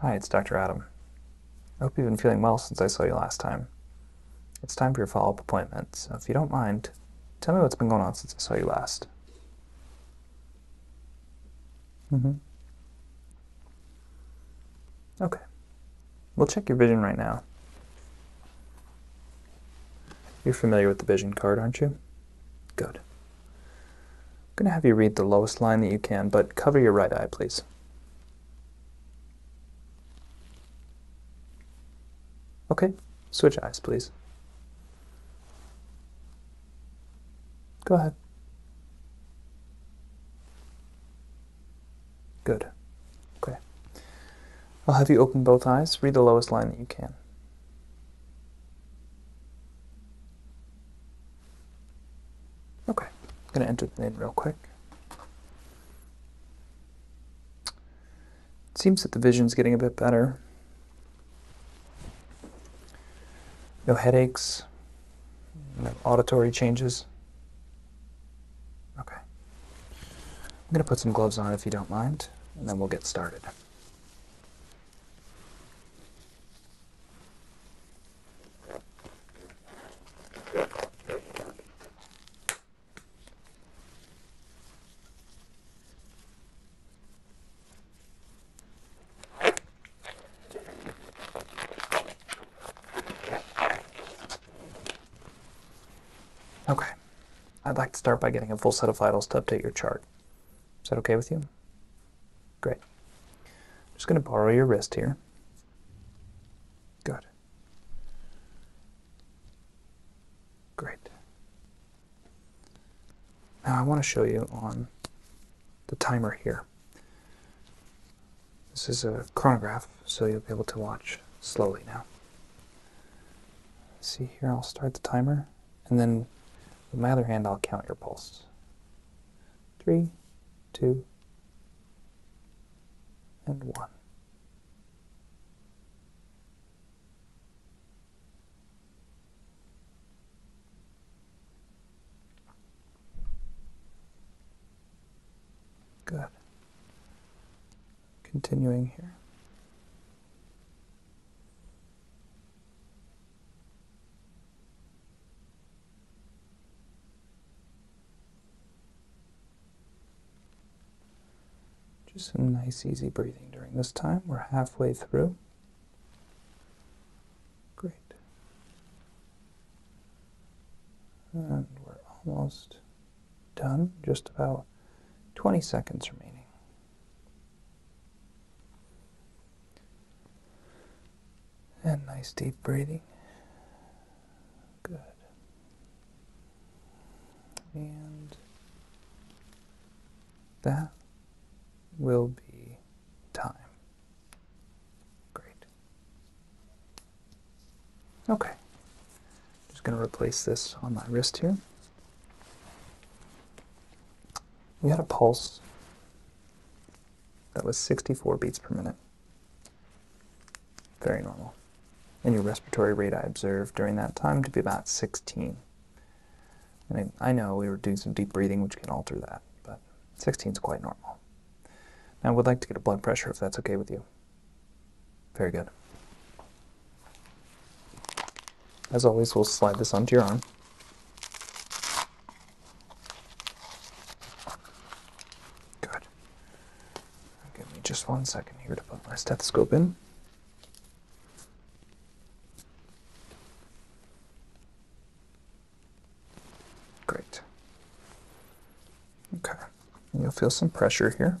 Hi, it's Dr. Adam. I hope you've been feeling well since I saw you last time. It's time for your follow up appointment, so if you don't mind, tell me what's been going on since I saw you last. hmm Okay. We'll check your vision right now. You're familiar with the vision card, aren't you? Good. I'm going to have you read the lowest line that you can, but cover your right eye, please. Okay, switch eyes, please. Go ahead. Good. Okay. I'll have you open both eyes. Read the lowest line that you can. Okay, I'm going to enter the name real quick. seems that the vision's getting a bit better. No headaches, no auditory changes. Okay. I'm going to put some gloves on if you don't mind, and then we'll get started. Okay. I'd like to start by getting a full set of vitals to update your chart. Is that okay with you? Great. I'm just going to borrow your wrist here. Good. Great. Now I want to show you on the timer here. This is a chronograph, so you'll be able to watch slowly now. See here, I'll start the timer, and then with my other hand, I'll count your pulse three, two, and one. Good. Continuing here. Just some nice, easy breathing during this time. We're halfway through. Great. And we're almost done, just about 20 seconds remaining. And nice deep breathing. Good. And that will be time. Great. Okay. just going to replace this on my wrist here. We got a pulse that was 64 beats per minute. Very normal. And your respiratory rate I observed during that time to be about 16. I, know we were doing some deep breathing, which can alter that, but 16 is quite normal. Now, I would like to get a blood pressure if that's okay with you. Very good. As always, we'll slide this onto your arm. Good. Give me just one second here to put my stethoscope in. Great. Okay. You'll feel some pressure here.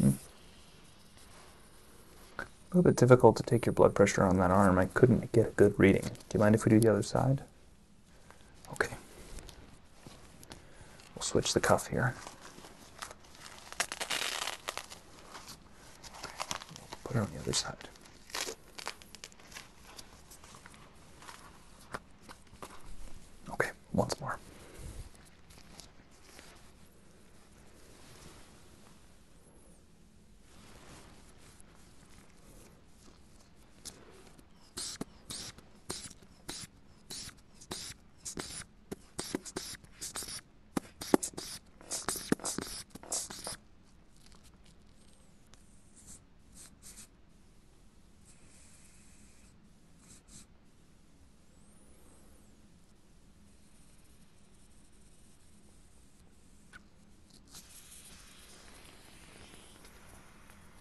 Hmm. A little bit difficult to take your blood pressure on that arm. I couldn't get a good reading. Do you mind if we do the other side? Okay. We'll switch the cuff here. Put it on the other side. Okay, once more.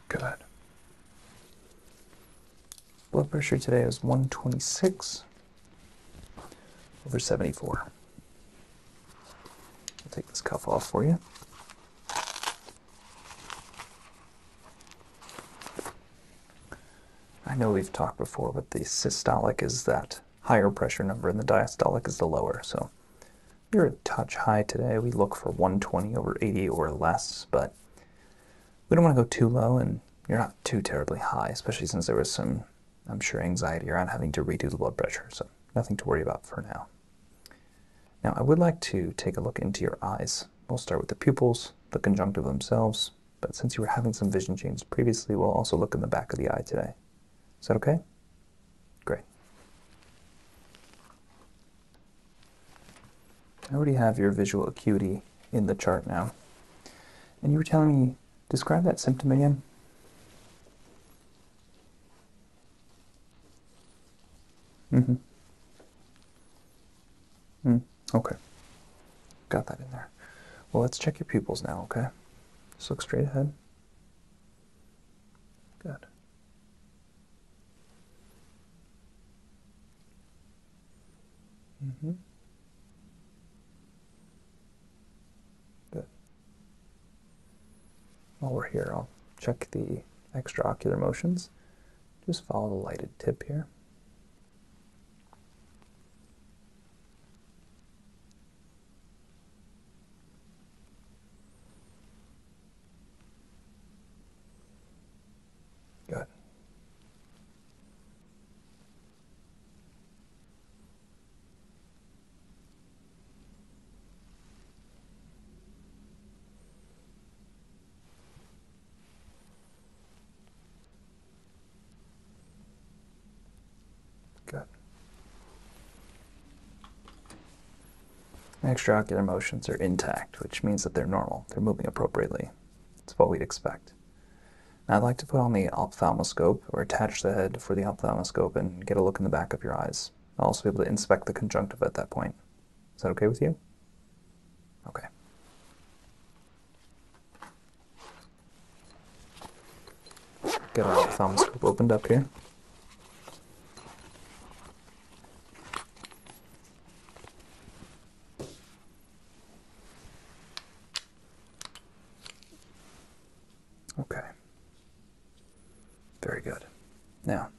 Good. Blood pressure today is 126 over 74. I'll take this cuff off for you. I know we've talked before, but the systolic is that higher pressure number and the diastolic is the lower. So you're a touch high today. We look for 120 over 80 or less, but we don't want to go too low and you're not too terribly high, especially since there was some, I'm sure, anxiety around having to redo the blood pressure. So nothing to worry about for now. Now I would like to take a look into your eyes. We'll start with the pupils, the conjunctiva themselves, but since you were having some vision changes previously, we'll also look in the back of the eye today. Is that okay? Great. I already have your visual acuity in the chart now. And you were telling me, describe that symptom again. Mm-hmm. Mm, okay. Got that in there. Well, let's check your pupils now, okay? Just look straight ahead. Good. Mm-hmm. Good. While we're here, I'll check the extraocular motions. Just follow the lighted tip here. Good. Good. Extraocular motions are intact, which means that they're normal. They're moving appropriately. It's what we'd expect. I'd like to put on the ophthalmoscope, or attach the head for the ophthalmoscope and get a look in the back of your eyes. I'll also be able to inspect the conjunctiva at that point. Is that okay with you? Okay. Get our thumb thumbscope opened up here. Okay. Very good. Now,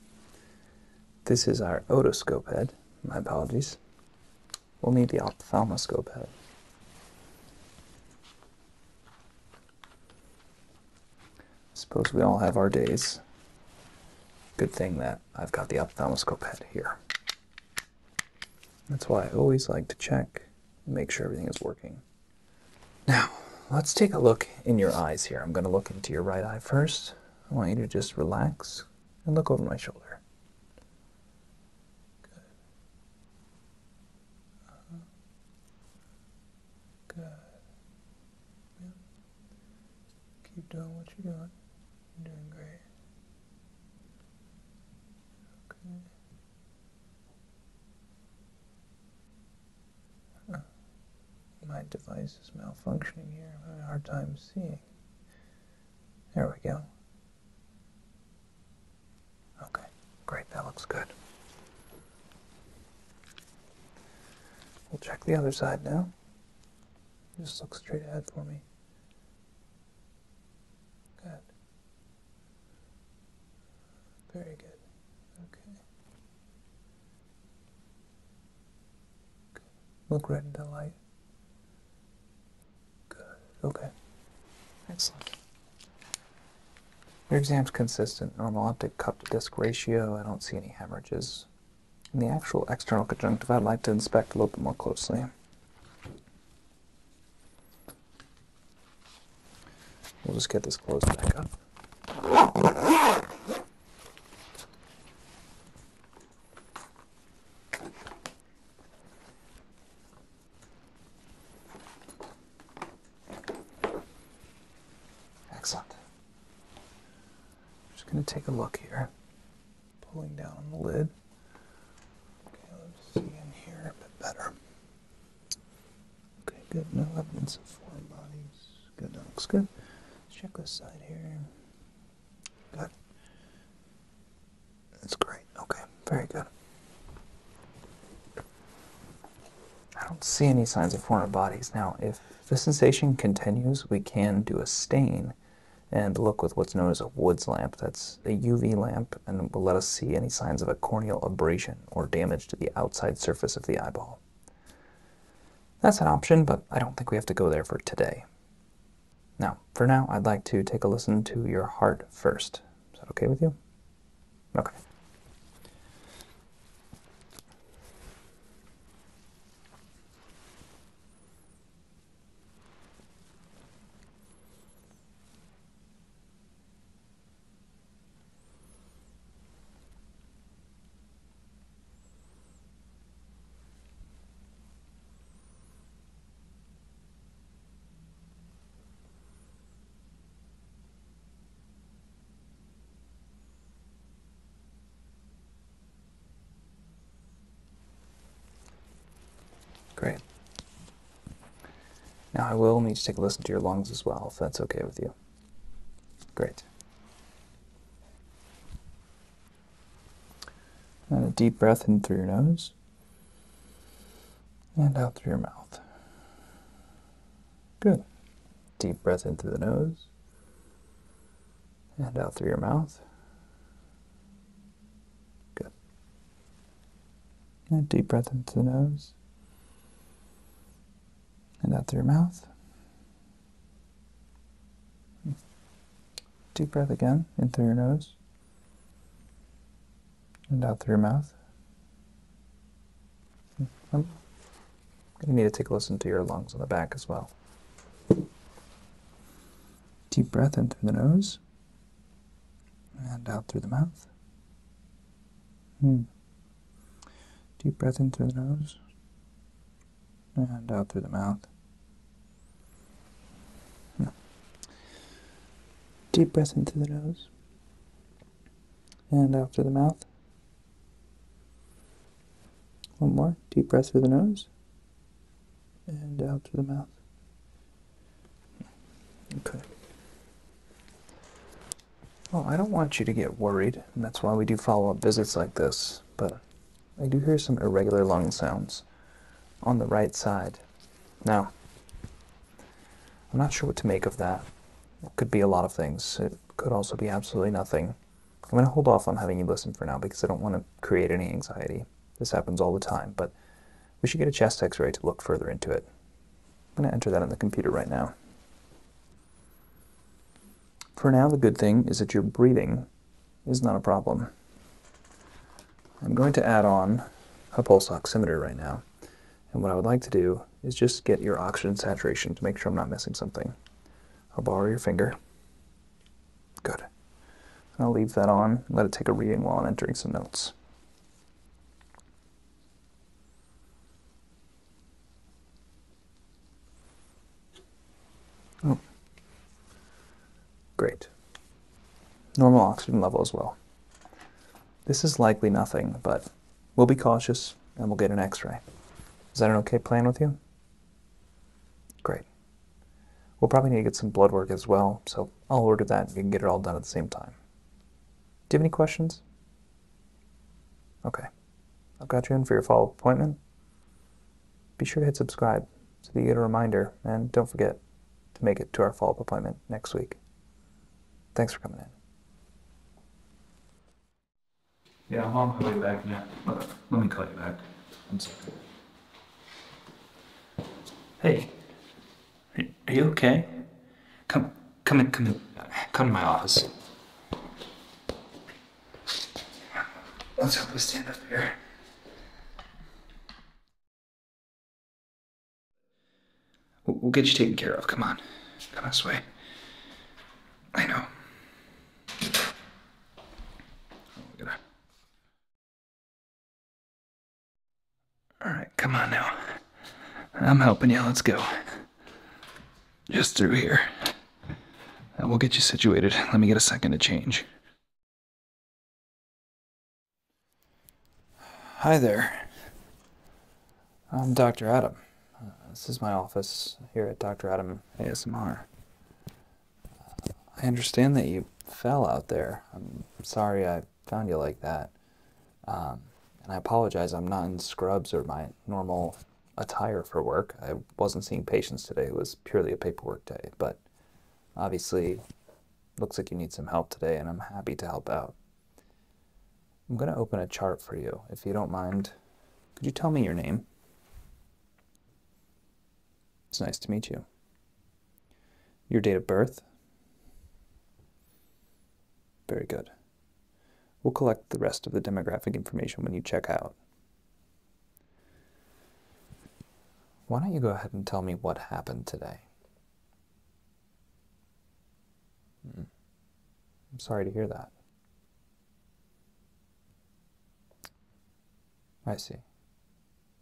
this is our otoscope head. My apologies. We'll need the ophthalmoscope head. Suppose we all have our days. Good thing that I've got the ophthalmoscope head here. That's why I always like to check and make sure everything is working. Now, let's take a look in your eyes here. I'm going to look into your right eye first. I want you to just relax, and look over my shoulder. Good. Good. Keep doing what you're doing. You're doing great. Okay. My device is malfunctioning here. I'm having a hard time seeing. There we go. Okay, great, that looks good. We'll check the other side now. Just look straight ahead for me. Good. Very good. Okay. Good. Look right at the light. Good. Okay. Excellent. Your exam's consistent. Normal optic cup to disc ratio. I don't see any hemorrhages. In the actual external conjunctiva, I'd like to inspect a little bit more closely. We'll just get this closed back up. Excellent. I'm just going to take a look here. Pulling down on the lid. Okay, let's see in here a bit better. Okay, good. No evidence of foreign bodies. Good, that looks good. Let's check this side here. Good. That's great. Okay, very good. I don't see any signs of foreign bodies. Now, if the sensation continues, we can do a stain and look with what's known as a Woods lamp. That's a UV lamp and will let us see any signs of a corneal abrasion or damage to the outside surface of the eyeball. That's an option, but I don't think we have to go there for today. Now, for now, I'd like to take a listen to your heart first. Is that okay with you? Okay. Great. Now I will need to take a listen to your lungs as well, if that's okay with you. Great. And a deep breath in through your nose and out through your mouth. Good. Deep breath in through the nose and out through your mouth. Good. And deep breath in through the nose and out through your mouth. Deep breath again in through your nose and out through your mouth. I'm going to need to take a listen to your lungs on the back as well. Deep breath in through the nose and out through the mouth. Hmm. Deep breath in through the nose and out through the mouth. Deep breath in through the nose and out through the mouth. One more. Deep breath through the nose and out through the mouth. Okay. Well, oh, I don't want you to get worried, and that's why we do follow-up visits like this, but I do hear some irregular lung sounds on the right side. Now, I'm not sure what to make of that. It could be a lot of things. It could also be absolutely nothing. I'm going to hold off on having you listen for now because I don't want to create any anxiety. This happens all the time, but we should get a chest x-ray to look further into it. I'm going to enter that in the computer right now. For now, the good thing is that you're breathing is not a problem. I'm going to add on a pulse oximeter right now. And what I would like to do is just get your oxygen saturation to make sure I'm not missing something. I'll borrow your finger. Good. And I'll leave that on let it take a reading while I'm entering some notes. Oh, great. Normal oxygen level as well. This is likely nothing, but we'll be cautious and we'll get an x-ray. Is that an okay plan with you? Great. We'll probably need to get some blood work as well, so I'll order that and you can get it all done at the same time. Do you have any questions? Okay. I've got you in for your follow-up appointment. Be sure to hit subscribe so that you get a reminder, and don't forget to make it to our follow up appointment next week. Thanks for coming in. Yeah, I'm on my way back now. Let, let me call you back. One second. Hey, are you okay? Come, come in, come in, come to my office. Let's help us stand up here. We'll get you taken care of. Come on. Come this way. I know. Alright, come on now. I'm helping you. Let's go. Just through here. We'll get you situated. Let me get a second to change. Hi there. I'm Dr. Adam. Uh, this is my office here at Dr. Adam ASMR. I understand that you fell out there. I'm sorry I found you like that. Um, and I apologize, I'm not in scrubs or my normal attire for work. I wasn't seeing patients today, it was purely a paperwork day. But obviously looks like you need some help today and I'm happy to help out. I'm going to open a chart for you. If you don't mind, could you tell me your name? It's nice to meet you. Your date of birth? Very good. We'll collect the rest of the demographic information when you check out. Why don't you go ahead and tell me what happened today? Hmm. I'm sorry to hear that. I see.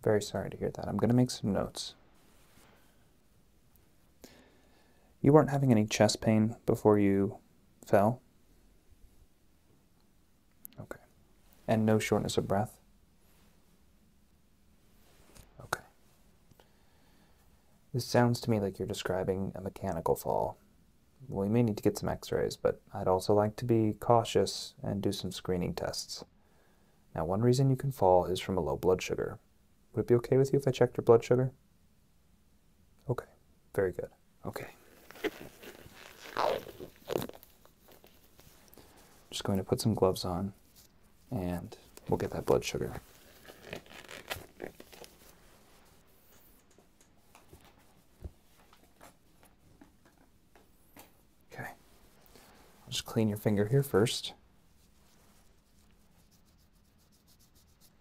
Very sorry to hear that. I'm going to make some notes. You weren't having any chest pain before you fell? Okay. And no shortness of breath? Okay. This sounds to me like you're describing a mechanical fall. We may need to get some x rays, but I'd also like to be cautious and do some screening tests. Now, one reason you can fall is from a low blood sugar. Would it be okay with you if I checked your blood sugar? Okay, very good. Okay. Just going to put some gloves on and we'll get that blood sugar. Okay. just clean your finger here first.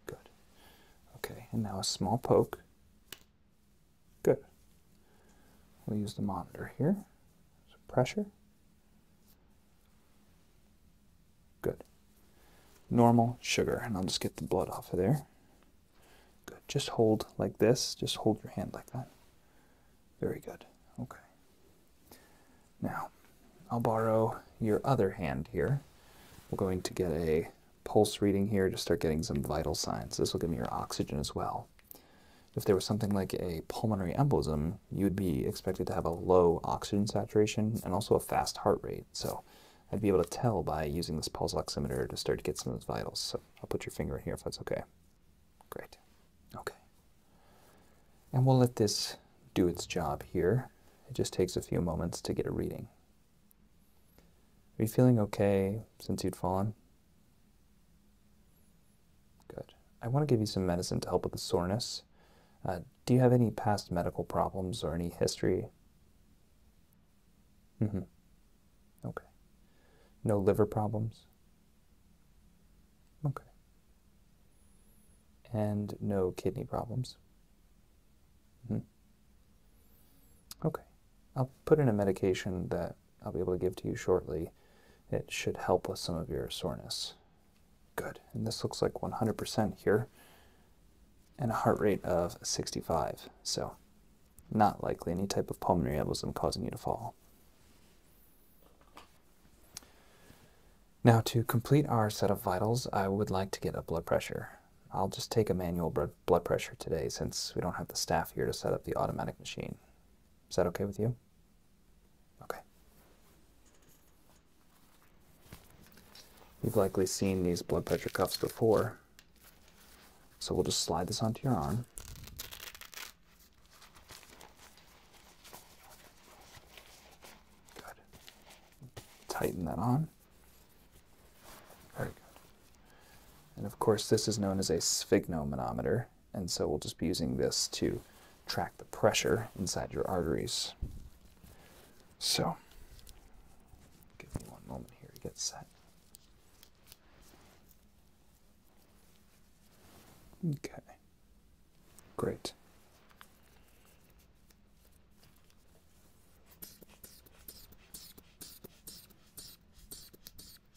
Good. Okay, and now a small poke. Good. We'll use the monitor here. Some pressure. Good. Normal sugar, and I'll just get the blood off of there. Good. Just hold like this. Just hold your hand like that. Very good. Okay. Now, I'll borrow your other hand here. We're going to get a pulse reading here to start getting some vital signs. This will give me your oxygen as well. If there was something like a pulmonary embolism, you would be expected to have a low oxygen saturation and also a fast heart rate. So I'd be able to tell by using this pulse oximeter to start to get some of those vitals. So I'll put your finger in here if that's okay. Great. Okay. And we'll let this do its job here. It just takes a few moments to get a reading. Are you feeling okay since you'd fallen? Good. I want to give you some medicine to help with the soreness. Uh, do you have any past medical problems or any history? Mm hmm. Okay. No liver problems? Okay. And no kidney problems? Mm hmm. Okay. I'll put in a medication that I'll be able to give to you shortly. It should help with some of your soreness. Good. And this looks like 100% here and a heart rate of 65. So not likely any type of pulmonary embolism causing you to fall. Now to complete our set of vitals, I would like to get a blood pressure. I'll just take a manual blood pressure today since we don't have the staff here to set up the automatic machine. Is that okay with you? Okay. You've likely seen these blood pressure cuffs before. So we'll just slide this onto your arm. Good. Tighten that on. Very good. And of course, this is known as a sphygmomanometer. And so we'll just be using this to track the pressure inside your arteries. So give me one moment here to get set. Okay, great.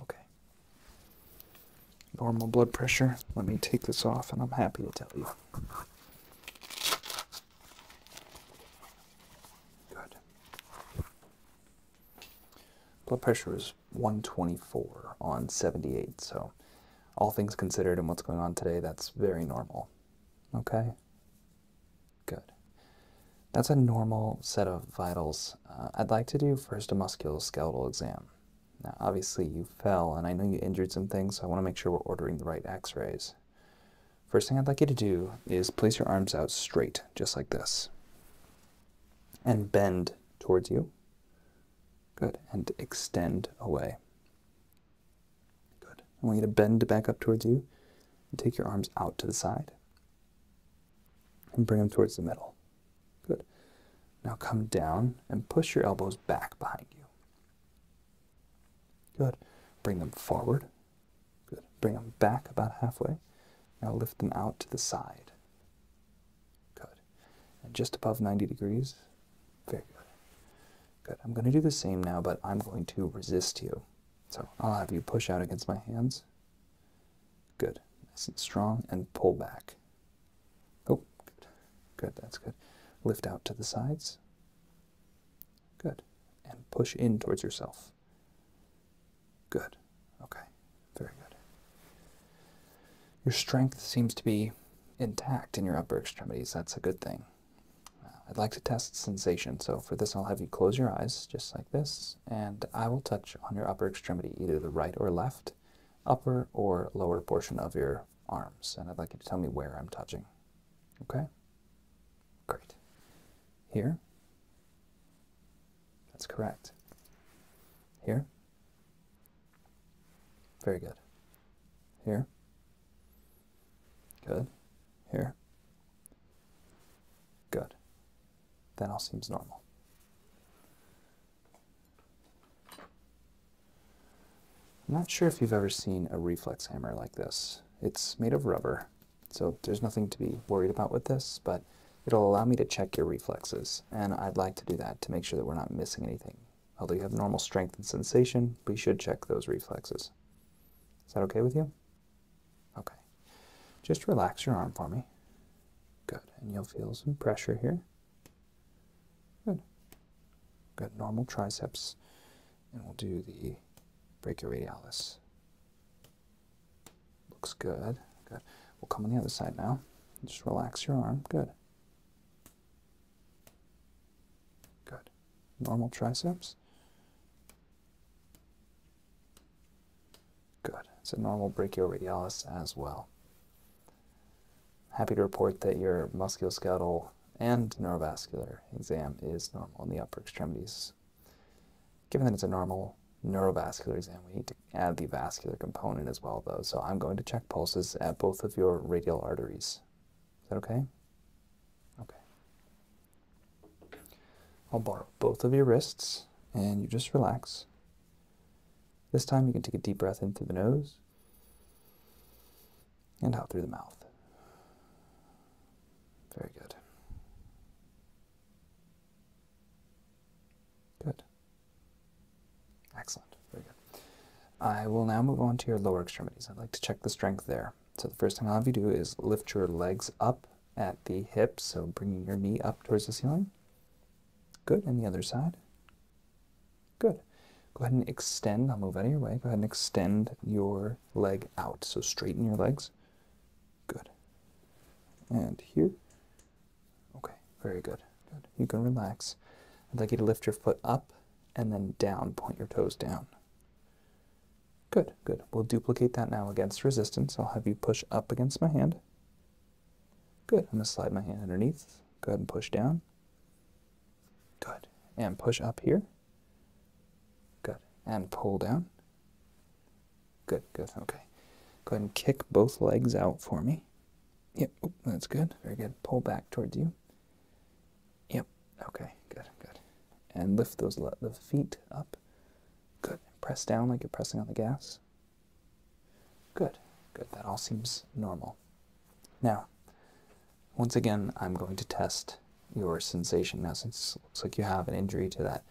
Okay. Normal blood pressure. Let me take this off, and I'm happy to tell you. Good. Blood pressure is 124 on 78, so all things considered and what's going on today, that's very normal. Okay? Good. That's a normal set of vitals. Uh, I'd like to do first a musculoskeletal exam. Now, obviously, you fell, and I know you injured some things, so I want to make sure we're ordering the right x rays. First thing I'd like you to do is place your arms out straight, just like this, and bend towards you. Good. And extend away. Good. I want you to bend back up towards you. And take your arms out to the side. And bring them towards the middle. Good. Now come down and push your elbows back behind you. Good. Bring them forward. Good. Bring them back about halfway. Now lift them out to the side. Good. And just above 90 degrees. Very good. Good. I'm going to do the same now, but I'm going to resist you. So I'll have you push out against my hands. Good. Nice and strong and pull back. Oh, good. Good. That's good. Lift out to the sides. Good. And push in towards yourself. Good. Okay. Very good. Your strength seems to be intact in your upper extremities. That's a good thing. I'd like to test sensation, so for this I'll have you close your eyes, just like this, and I will touch on your upper extremity, either the right or left, upper or lower portion of your arms, and I'd like you to tell me where I'm touching. Okay? Great. Here? That's correct. Here? Very good. Here? Good. Here. Good. That all seems normal. I'm not sure if you've ever seen a reflex hammer like this. It's made of rubber, so there's nothing to be worried about with this, but it'll allow me to check your reflexes, and I'd like to do that to make sure that we're not missing anything. Although you have normal strength and sensation, we should check those reflexes. Is that okay with you? Okay. Just relax your arm for me. Good. And you'll feel some pressure here. Good. Good. Normal triceps. And we'll do the brachioradialis. Looks good. Good. We'll come on the other side now. Just relax your arm. Good. Good normal triceps. Good. It's a normal brachioradialis as well. Happy to report that your musculoskeletal and neurovascular exam is normal in the upper extremities. Given that it's a normal neurovascular exam, we need to add the vascular component as well, though. So I'm going to check pulses at both of your radial arteries. Is that okay? Okay. I'll borrow both of your wrists and you just relax. This time you can take a deep breath in through the nose and out through the mouth. Very good. Good. Excellent. Very good. I will now move on to your lower extremities. I'd like to check the strength there. So the first thing I'll have you do is lift your legs up at the hips, so bringing your knee up towards the ceiling. Good, and the other side. Good. Go ahead and extend, I'll move out of your way. Go ahead and extend your leg out, so straighten your legs. Good. And here. Okay, very good. Good. You can relax. I'd like you to lift your foot up and then down, point your toes down. Good, good. We'll duplicate that now against resistance. I'll have you push up against my hand. Good. I'm going to slide my hand underneath. Go ahead and push down. Good. And push up here. Good. And pull down. Good, good. Okay. Go ahead and kick both legs out for me. Yep, that's good. Very good. Pull back towards you. Yep, Okay, good, good. And lift those the feet up. Good. Press down like you're pressing on the gas. Good, good. That all seems normal. Now, once again, I'm going to test your sensation. Now, since it looks like you have an injury to that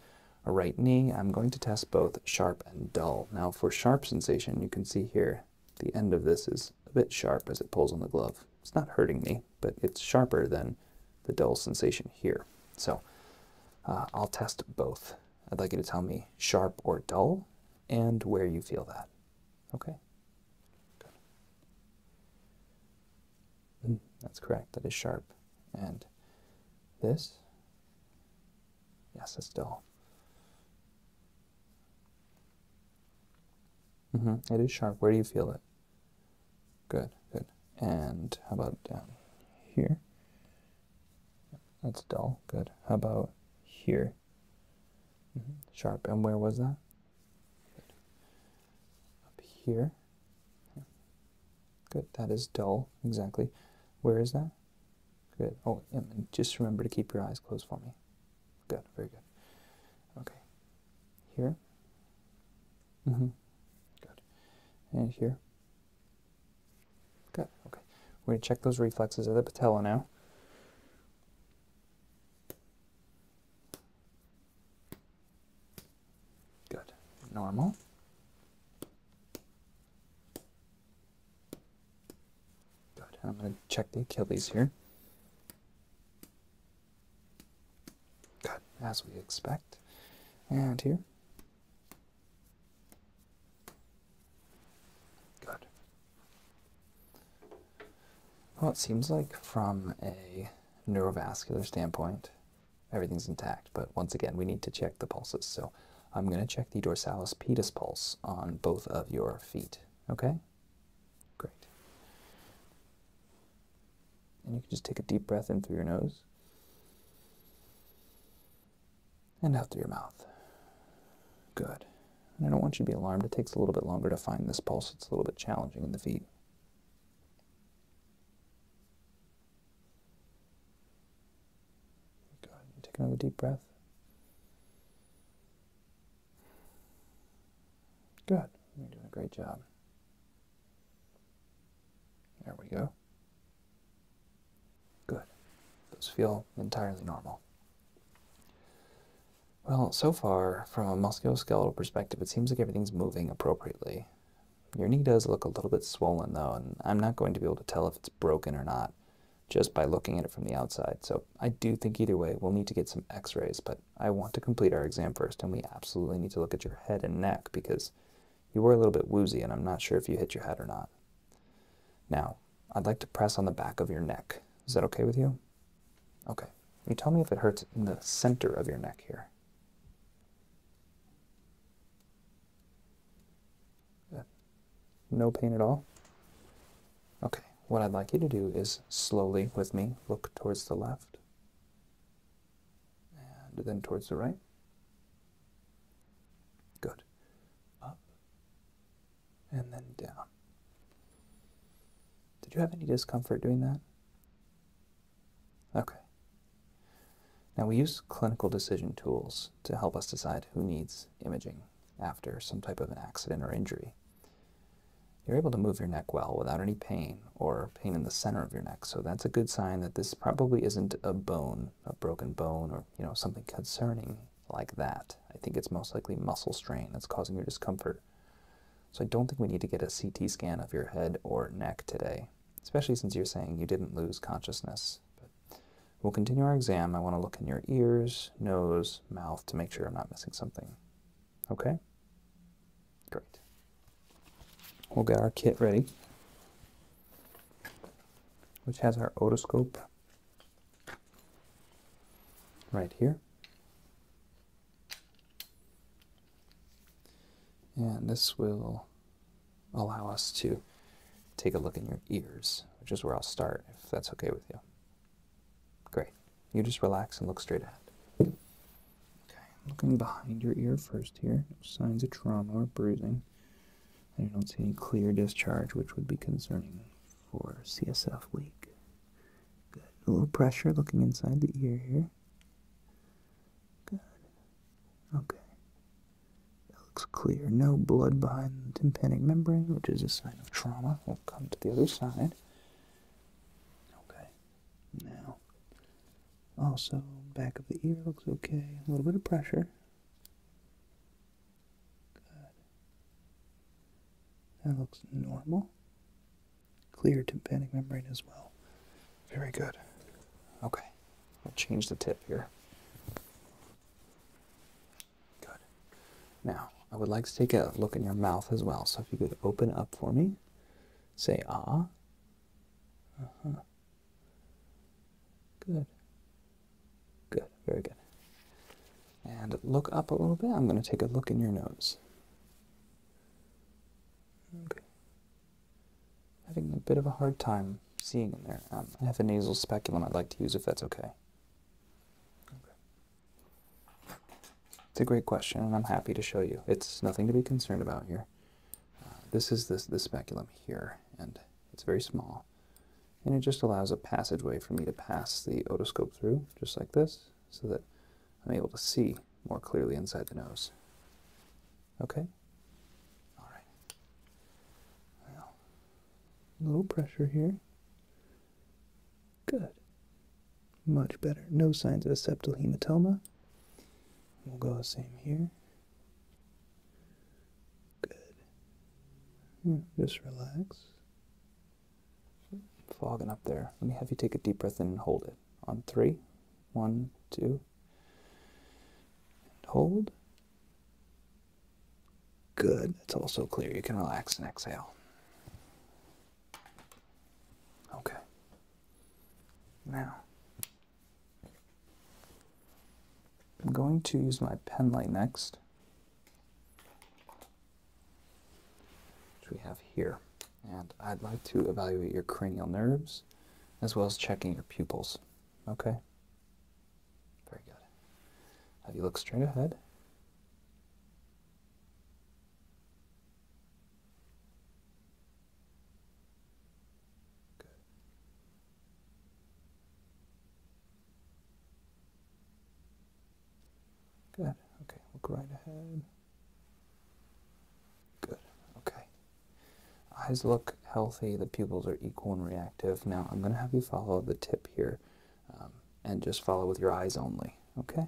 right knee, I'm going to test both sharp and dull. Now, for sharp sensation, you can see here the end of this is a bit sharp as it pulls on the glove it's not hurting me, but it's sharper than the dull sensation here. So uh, I'll test both. I'd like you to tell me sharp or dull and where you feel that. Okay? Good. Mm, that's correct. That is sharp. And this? Yes, it's dull. Mm-hmm. It is sharp. Where do you feel it? Good, good. And how about down here? That's dull. Good. How about here? Mm-hmm. Sharp. And where was that? Up here. Good. That is dull. Exactly. Where is that? Good. Oh, and just remember to keep your eyes closed for me. Good. Very good. Okay here. -hmm. Good. And here. Good. Okay. We're going to check those reflexes of the patella now. Good. Normal. Good. I'm going to check the Achilles here. Cut as we expect. And here. Good. Well, it seems like from a neurovascular standpoint, everything's intact, but once again, we need to check the pulses. So I'm going to check the dorsalis pedis pulse on both of your feet. Okay? Great. And you can just take a deep breath in through your nose and out through your mouth. Good. And I don't want you to be alarmed. It takes a little bit longer to find this pulse. It's a little bit challenging in the feet. Good. Take another deep breath. Good. You're doing a great job. There we go. Good. Those feel entirely normal. Well, so far, from a musculoskeletal perspective, it seems like everything's moving appropriately. Your knee does look a little bit swollen, though, and I'm not going to be able to tell if it's broken or not just by looking at it from the outside. So I do think either way, we'll need to get some x-rays, but I want to complete our exam first, and we absolutely need to look at your head and neck because you were a little bit woozy, and I'm not sure if you hit your head or not. Now, I'd like to press on the back of your neck. Is that okay with you? Okay. You tell me if it hurts in the center of your neck here. No pain at all? Okay. What I'd like you to do is slowly with me look towards the left and then towards the right. Good. Up and then down. Did you have any discomfort doing that? Okay. Now we use clinical decision tools to help us decide who needs imaging after some type of an accident or injury. You're able to move your neck well without any pain or pain in the center of your neck. So that's a good sign that this probably isn't a bone, a broken bone, or you know something concerning like that. I think it's most likely muscle strain that's causing your discomfort. So I don't think we need to get a CT scan of your head or neck today, especially since you're saying you didn't lose consciousness. But we'll continue our exam. I want to look in your ears, nose, mouth to make sure I'm not missing something. Okay? Great. We'll get our kit ready, which has our otoscope right here. And this will allow us to take a look in your ears, which is where I'll start, if that's okay with you. Great. You just relax and look straight ahead. Okay, looking behind your ear first here. No signs of trauma or bruising. I don't see any clear discharge, which would be concerning for CSF leak. Good. A little pressure looking inside the ear here. Good. Okay. That looks clear. No blood behind the tympanic membrane, which is a sign of trauma. We'll come to the other side. Okay. Now, also back of the ear looks okay. A little bit of pressure. Good. That looks normal. Clear tympanic membrane as well. Very good. Okay, I'll change the tip here. Good. Now, I would like to take a look in your mouth as well. So if you could open up for me, say ah, uh-huh. Good. Good. Very good. And look up a little bit. I'm going to take a look in your nose. Okay. Having a bit of a hard time seeing in there. Um, I have a nasal speculum I'd like to use if that's okay. Okay. It's a great question, and I'm happy to show you. It's nothing to be concerned about here. Uh, this is this, this speculum here, and it's very small. And it just allows a passageway for me to pass the otoscope through, just like this, so that I'm able to see more clearly inside the nose. Okay? All right. Well, little pressure here. Good. Much better. No signs of a septal hematoma. We'll go the same here. Good. Hmm, just relax. Fogging up there. Let me have you take a deep breath in and hold it. On three, one, two, and hold. Good. It's also clear. You can relax and exhale. Okay. Now, I'm going to use my pen light next, which we have here. And I'd like to evaluate your cranial nerves as well as checking your pupils. Okay? Very good. Have you look straight ahead? Good. Good. Okay, look right ahead. Good. Okay. Eyes look healthy. The pupils are equal and reactive. Now I'm going to have you follow the tip here um, and just follow with your eyes only. Okay?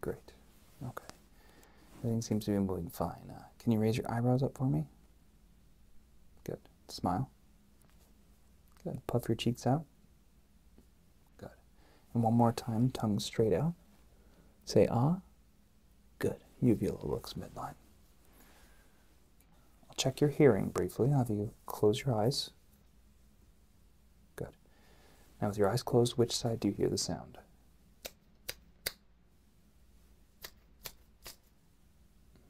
Great. Okay. Everything seems to be moving fine. Uh, can you raise your eyebrows up for me? Good. Smile. Good. Puff your cheeks out. Good. And one more time, tongue straight out. Say ah. Good. Uvula looks midline. I'll check your hearing briefly. I'll have you close your eyes. Good. Now, with your eyes closed, which side do you hear the sound?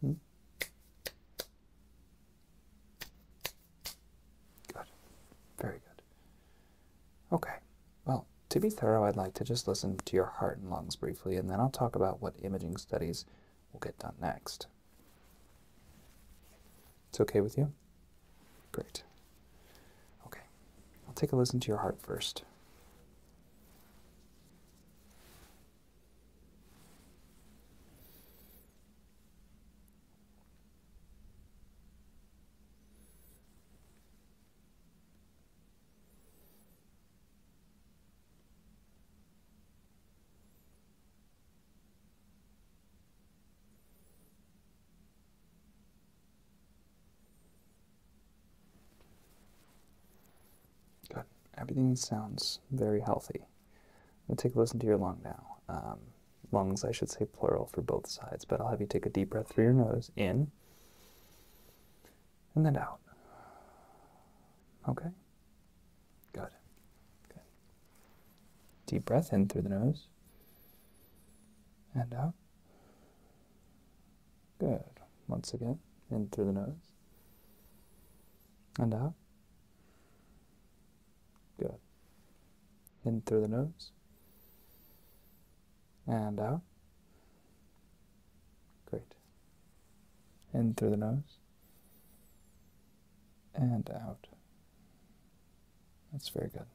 -hmm. Good. Very good. Okay. Well, to be thorough, I'd like to just listen to your heart and lungs briefly, and then I'll talk about what imaging studies will get done next. It's okay with you? Great. Okay. I'll take a listen to your heart first. Good. Everything sounds very healthy. I'm take a listen to your lung now. Um, lungs, I should say plural for both sides, but I'll have you take a deep breath through your nose in and then out. Okay? Good. Good. Deep breath in through the nose and out. Good. Once again, in through the nose and out. Good. In through the nose and out. Great. In through the nose and out. That's very good.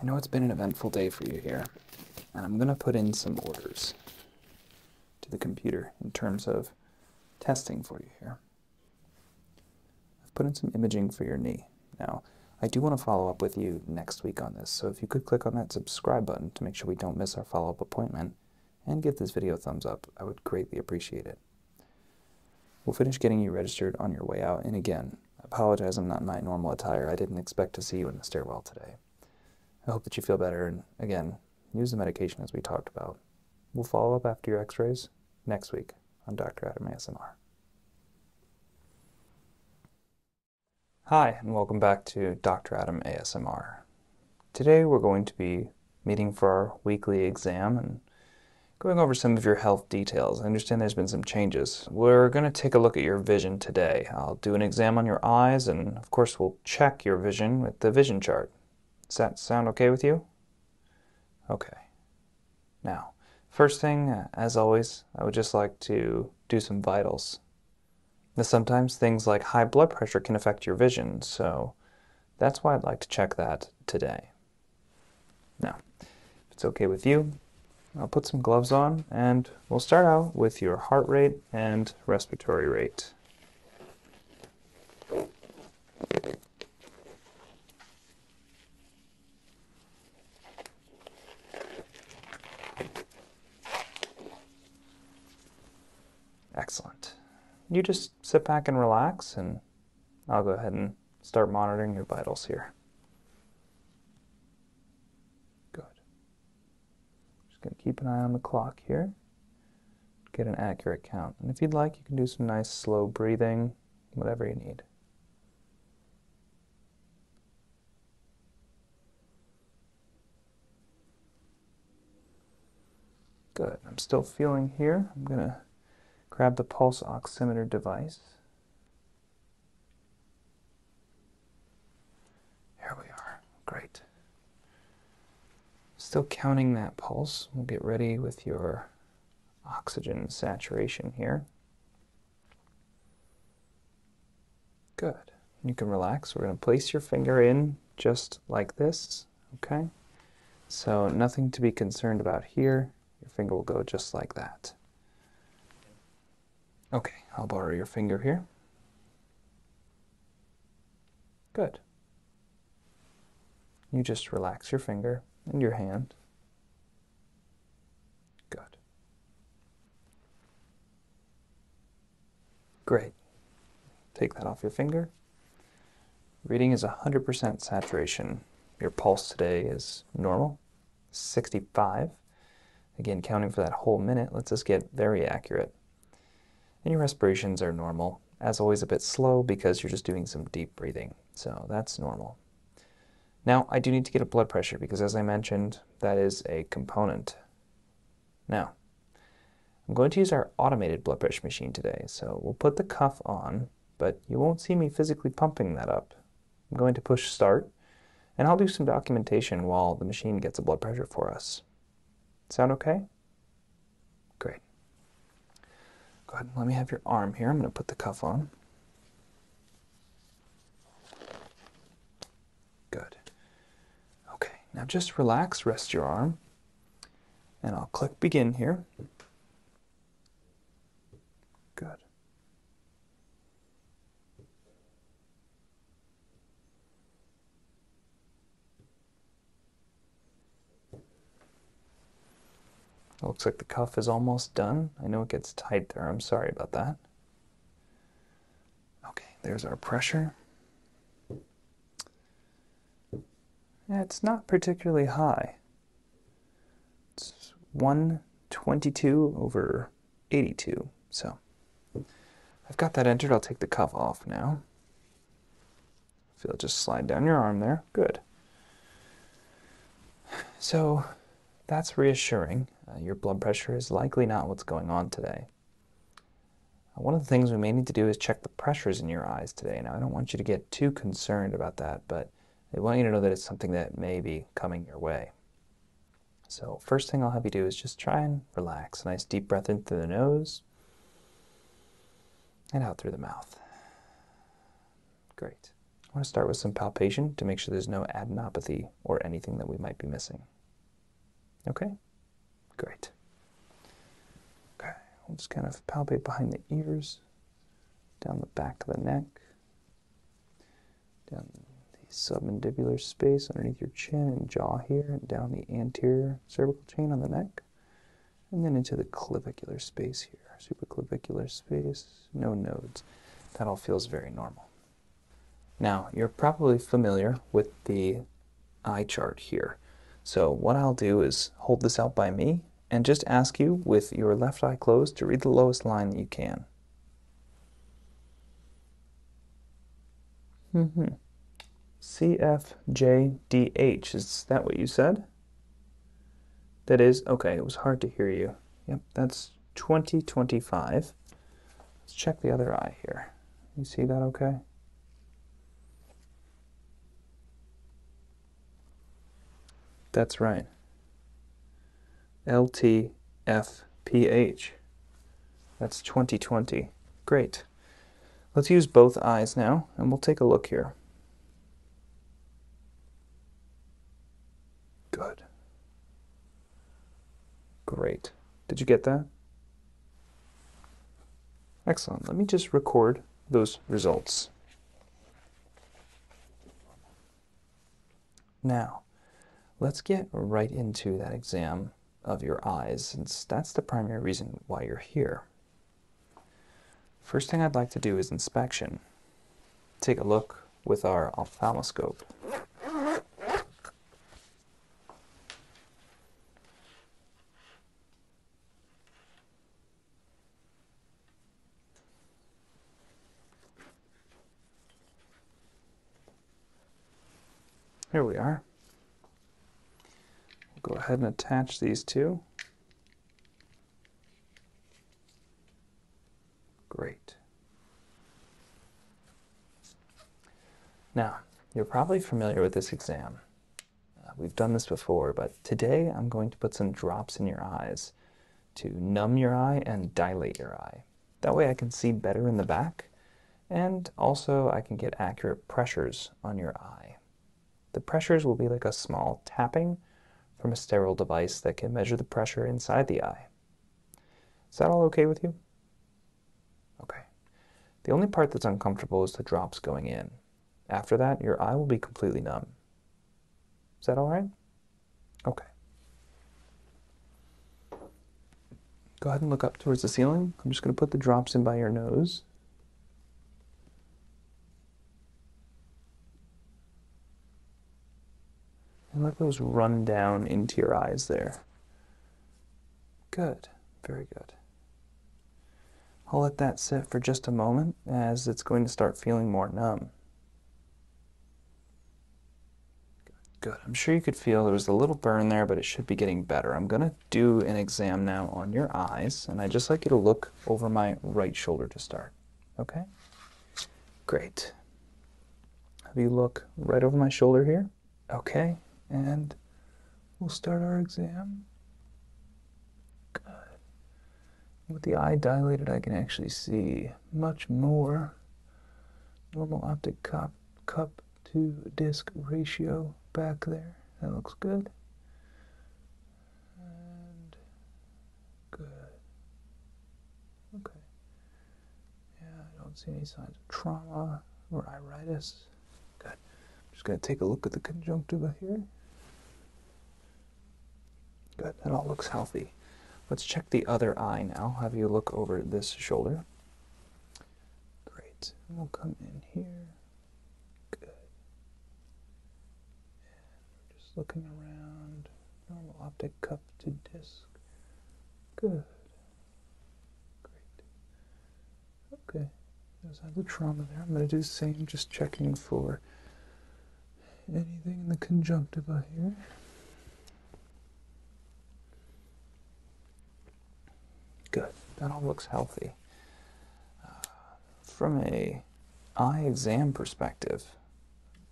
I know it's been an eventful day for you here, and I'm going to put in some orders to the computer in terms of testing for you here. I've put in some imaging for your knee. Now, I do want to follow up with you next week on this, so if you could click on that subscribe button to make sure we don't miss our follow-up appointment, and give this video a thumbs up. I would greatly appreciate it. We'll finish getting you registered on your way out, and again, I apologize I'm not in my normal attire. I didn't expect to see you in the stairwell today. I hope that you feel better, and again, use the medication as we talked about. We'll follow up after your x-rays next week on Dr. Adam ASMR. Hi, and welcome back to Dr. Adam ASMR. Today we're going to be meeting for our weekly exam and going over some of your health details. I understand there's been some changes. We're going to take a look at your vision today. I'll do an exam on your eyes and, of course, we'll check your vision with the vision chart. Does that sound okay with you? Okay. Now, first thing, as always, I would just like to do some vitals. Now, sometimes things like high blood pressure can affect your vision, so that's why I'd like to check that today. Now, if it's okay with you, I'll put some gloves on and we'll start out with your heart rate and respiratory rate. Excellent. You just sit back and relax, and I'll go ahead and start monitoring your vitals here. Good. Just going to keep an eye on the clock here, get an accurate count. And if you'd like, you can do some nice slow breathing, whatever you need. Good, I'm still feeling here. I'm gonna grab the pulse oximeter device. Here we are, great. Still counting that pulse. We'll get ready with your oxygen saturation here. Good, you can relax. We're gonna place your finger in just like this. Okay, so nothing to be concerned about here. Your finger will go just like that. Okay, I'll borrow your finger here. Good. You just relax your finger and your hand. Good. Great. Take that off your finger. Reading is 100% saturation. Your pulse today is normal, 65. Again, counting for that whole minute lets us get very accurate. And your respirations are normal. As always, a bit slow because you're just doing some deep breathing. So that's normal. Now, I do need to get a blood pressure because, as I mentioned, that is a component. Now, I'm going to use our automated blood pressure machine today, so we'll put the cuff on, but you won't see me physically pumping that up. I'm going to push start, and I'll do some documentation while the machine gets a blood pressure for us. Sound okay? Great. Go ahead and let me have your arm here. I'm going to put the cuff on. Good. Okay, now just relax, rest your arm. And I'll click begin here. Good. looks like the cuff is almost done. I know it gets tight there. I'm sorry about that. Okay, there's our pressure. That's not particularly high. It's 122 over 82. So I've got that entered. I'll take the cuff off now. Feel it just slide down your arm there. Good. So that's reassuring. Uh, your blood pressure is likely not what's going on today. One of the things we may need to do is check the pressures in your eyes today. Now, I don't want you to get too concerned about that, but I want you to know that it's something that may be coming your way. So first thing I'll have you do is just try and relax. A nice deep breath in through the nose and out through the mouth. Great. I want to start with some palpation to make sure there's no adenopathy or anything that we might be missing. Okay? Great. Okay, we'll just kind of palpate behind the ears, down the back of the neck, down the submandibular space underneath your chin and jaw here, and down the anterior cervical chain on the neck, and then into the clavicular space here, supraclavicular space, no nodes. That all feels very normal. Now, you're probably familiar with the eye chart here. So what I'll do is hold this out by me and just ask you with your left eye closed to read the lowest line that you can. Mm -hmm. CFJDH, is that what you said? That is, okay, it was hard to hear you. Yep, that's 2025. Let's check the other eye here. You see that okay? That's right. LTFPH. That's 2020. Great. Let's use both eyes now, and we'll take a look here. Good. Great. Did you get that? Excellent. Let me just record those results. Now, let's get right into that exam of your eyes, since that's the primary reason why you're here. First thing I'd like to do is inspection. Take a look with our ophthalmoscope. Here we are. go ahead and attach these two. Great. Now, you're probably familiar with this exam. Uh, we've done this before, but today I'm going to put some drops in your eyes to numb your eye and dilate your eye. That way I can see better in the back, and also I can get accurate pressures on your eye. The pressures will be like a small tapping from a sterile device that can measure the pressure inside the eye. Is that all okay with you? Okay. The only part that's uncomfortable is the drops going in. After that, your eye will be completely numb. Is that all right? Okay. Go ahead and look up towards the ceiling. I'm just going to put the drops in by your nose. And let those run down into your eyes there. Good. Very good. I'll let that sit for just a moment as it's going to start feeling more numb. Good. I'm sure you could feel there was a little burn there, but it should be getting better. I'm going to do an exam now on your eyes, and I'd just like you to look over my right shoulder to start. Okay? Great. Have you look right over my shoulder here? Okay. And we'll start our exam. God. With the eye dilated, I can actually see much more. Normal optic cup, to disc ratio back there. That looks good. good. Okay. Yeah, I don't see any signs of trauma or iritis. Good. I'm just going to take a look at the conjunctiva here. Good. That all looks healthy. Let's check the other eye now. Have you look over this shoulder. Great. We'll come in here. Good. And just looking around. Normal optic cup to disc. Good. Great. Okay, there's a little trauma there. I'm going to do the same, just checking for anything in the conjunctiva here. Good, that all looks healthy. Uh, from a eye exam perspective,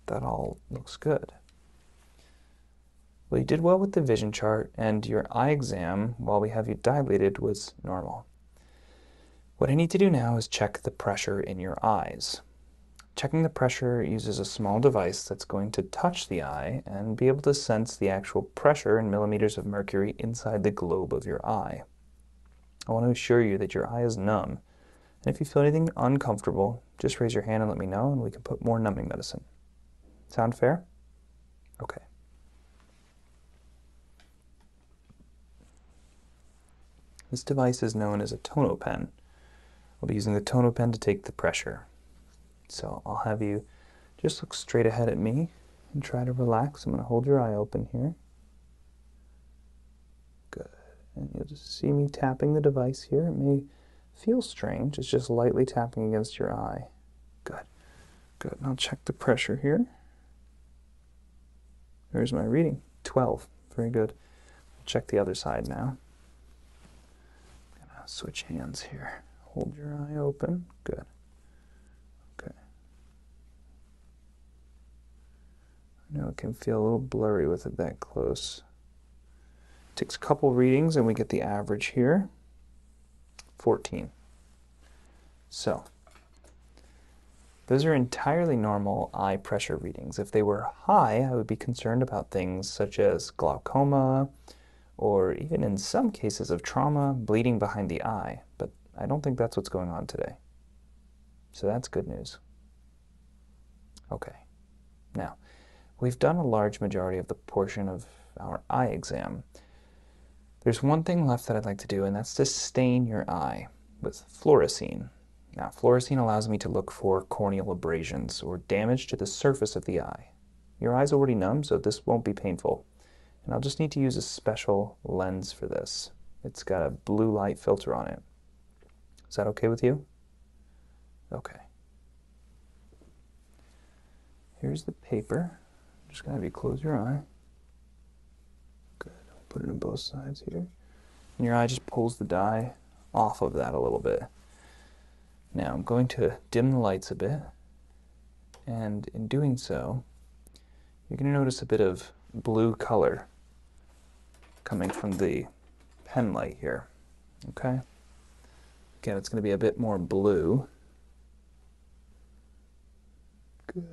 that all looks good. Well, you did well with the vision chart, and your eye exam, while we have you dilated, was normal. What I need to do now is check the pressure in your eyes. Checking the pressure uses a small device that's going to touch the eye and be able to sense the actual pressure in millimeters of mercury inside the globe of your eye. I want to assure you that your eye is numb, and if you feel anything uncomfortable, just raise your hand and let me know, and we can put more numbing medicine. Sound fair? Okay. This device is known as a pen. I'll be using the pen to take the pressure. So I'll have you just look straight ahead at me and try to relax. I'm going to hold your eye open here. Good. And you'll just see me tapping the device here. It may feel strange. It's just lightly tapping against your eye. Good. Good. Now check the pressure here. There's my reading. 12. Very good. Check the other side now. gonna switch hands here. Hold your eye open. Good. Okay. I know it can feel a little blurry with it that close. Takes a couple readings and we get the average here. 14. So those are entirely normal eye pressure readings. If they were high, I would be concerned about things such as glaucoma, or even in some cases of trauma, bleeding behind the eye, but I don't think that's what's going on today. So that's good news. Okay, now, we've done a large majority of the portion of our eye exam, there's one thing left that I'd like to do, and that's to stain your eye with fluorescein. Now, fluorescein allows me to look for corneal abrasions or damage to the surface of the eye. Your eye's already numb, so this won't be painful. And I'll just need to use a special lens for this. It's got a blue light filter on it. Is that okay with you? Okay. Here's the paper just gonna have you close your eye. Good. Put it on both sides here. And your eye just pulls the dye off of that a little bit. Now I'm going to dim the lights a bit. And in doing so, you're gonna notice a bit of blue color coming from the pen light here. Okay? Again, it's going to be a bit more blue. Good.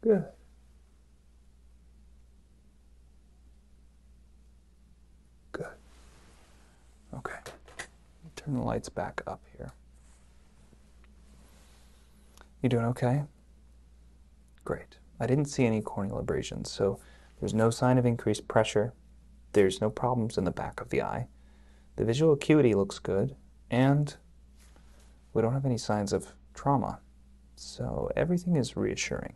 Good. Good. Okay. Turn the lights back up here. You doing okay? Great. I didn't see any corneal abrasions, so there's no sign of increased pressure. There's no problems in the back of the eye. The visual acuity looks good, and we don't have any signs of trauma. So everything is reassuring.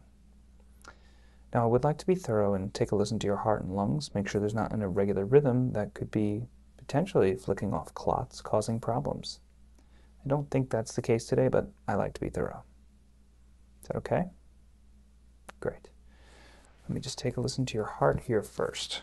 Now, I would like to be thorough and take a listen to your heart and lungs, make sure there's not an irregular rhythm that could be potentially flicking off clots, causing problems. I don't think that's the case today, but I like to be thorough. Is that okay? Great. Let me just take a listen to your heart here first.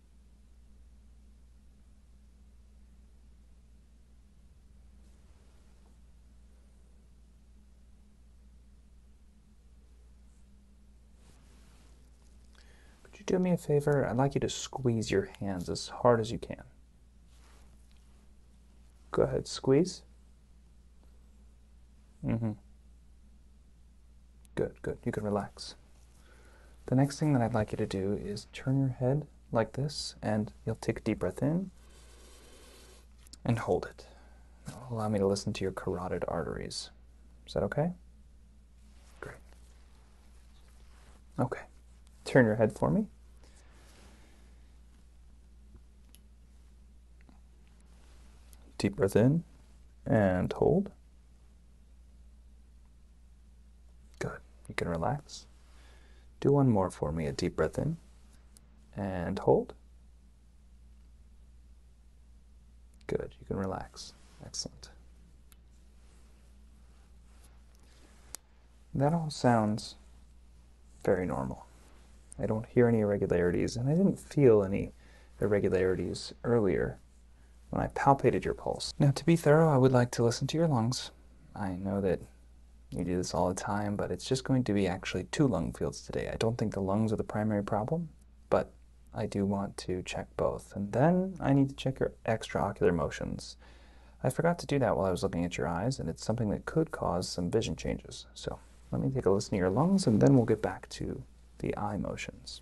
Could you do me a favor? I'd like you to squeeze your hands as hard as you can. Go ahead, squeeze. Mm-hmm. Good, good. You can relax. The next thing that I'd like you to do is turn your head like this, and you'll take a deep breath in and hold it. allow me to listen to your carotid arteries. Is that okay? Great. Okay. Turn your head for me. Deep breath in and hold. Good. You can relax. Do one more for me. A deep breath in and hold. Good. You can relax. Excellent. That all sounds very normal. I don't hear any irregularities, and I didn't feel any irregularities earlier when I palpated your pulse. Now, to be thorough, I would like to listen to your lungs I know that you do this all the time, but it's just going to be actually two lung fields today. I don't think the lungs are the primary problem, but I do want to check both. And then I need to check your extraocular motions. I forgot to do that while I was looking at your eyes, and it's something that could cause some vision changes. So let me take a listen to your lungs, and then we'll get back to the eye motions.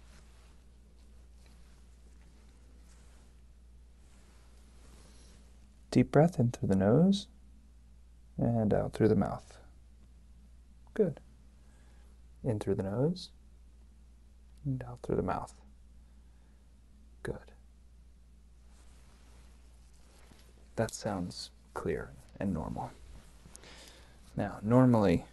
Deep breath in through the nose and out through the mouth. Good. In through the nose and out through the mouth. Good. That sounds clear and normal. Now, normally,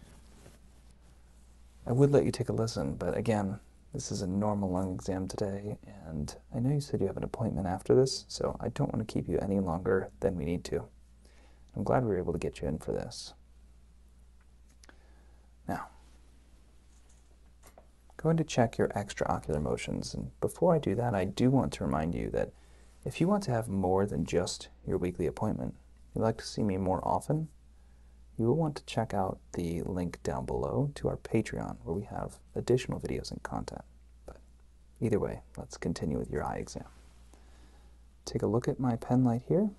I would let you take a listen, but again, this is a normal lung exam today, and I know you said you have an appointment after this, so I don't want to keep you any longer than we need to. I'm glad we were able to get you in for this. Now, going to check your extra ocular motions, and before I do that, I do want to remind you that if you want to have more than just your weekly appointment, you'd like to see me more often, you will want to check out the link down below to our Patreon, where we have additional videos and content. But either way, let's continue with your eye exam. Take a look at my pen light here.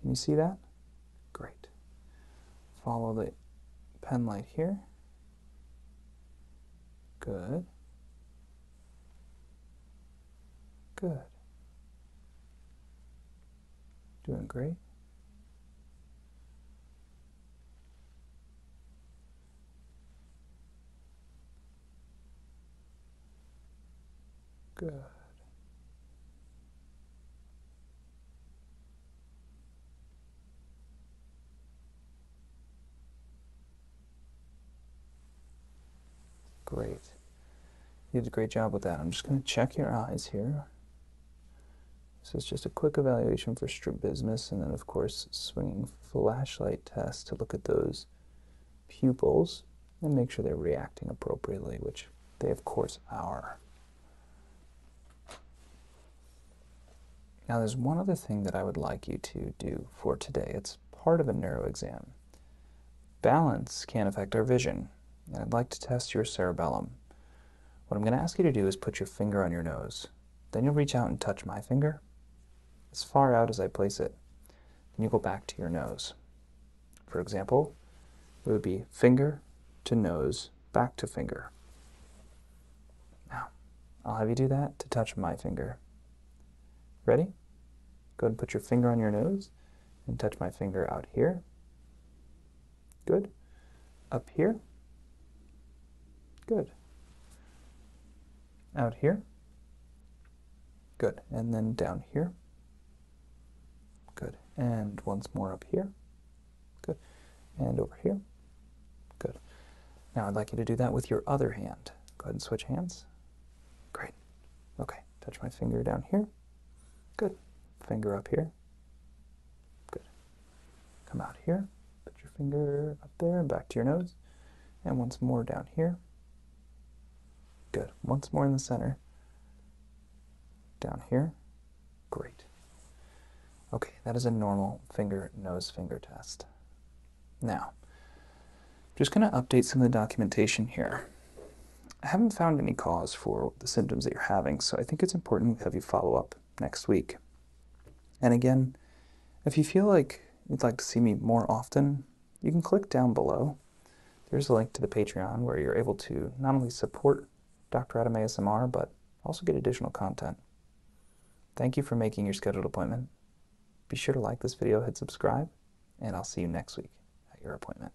Can you see that? Great. Follow the pen light here. Good. Good. Doing great. Good. Great. You did a great job with that. I'm just going to check your eyes here. So it's just a quick evaluation for strabismus, and then of course swinging flashlight test to look at those pupils and make sure they're reacting appropriately, which they of course are. Now there's one other thing that I would like you to do for today. It's part of a neuro exam. Balance can affect our vision, and I'd like to test your cerebellum. What I'm going to ask you to do is put your finger on your nose. Then you'll reach out and touch my finger as far out as I place it. Then you go back to your nose. For example, it would be finger to nose, back to finger. Now, I'll have you do that to touch my finger. Ready? Go ahead and put your finger on your nose and touch my finger out here. Good. Up here. Good. Out here. Good. And then down here. Good. And once more up here. Good. And over here. Good. Now I'd like you to do that with your other hand. Go ahead and switch hands. Great. Okay. Touch my finger down here. Good. Finger up here. Good. Come out here. Put your finger up there and back to your nose. And once more down here. Good. Once more in the center. Down here. Great. Okay, that is a normal finger, nose, finger test. Now, just going to update some of the documentation here. I haven't found any cause for the symptoms that you're having, so I think it's important we have you follow up next week. And again, if you feel like you'd like to see me more often, you can click down below. There's a link to the Patreon where you're able to not only support Dr. Adam ASMR, but also get additional content. Thank you for making your scheduled appointment. Be sure to like this video, hit subscribe, and I'll see you next week at your appointment.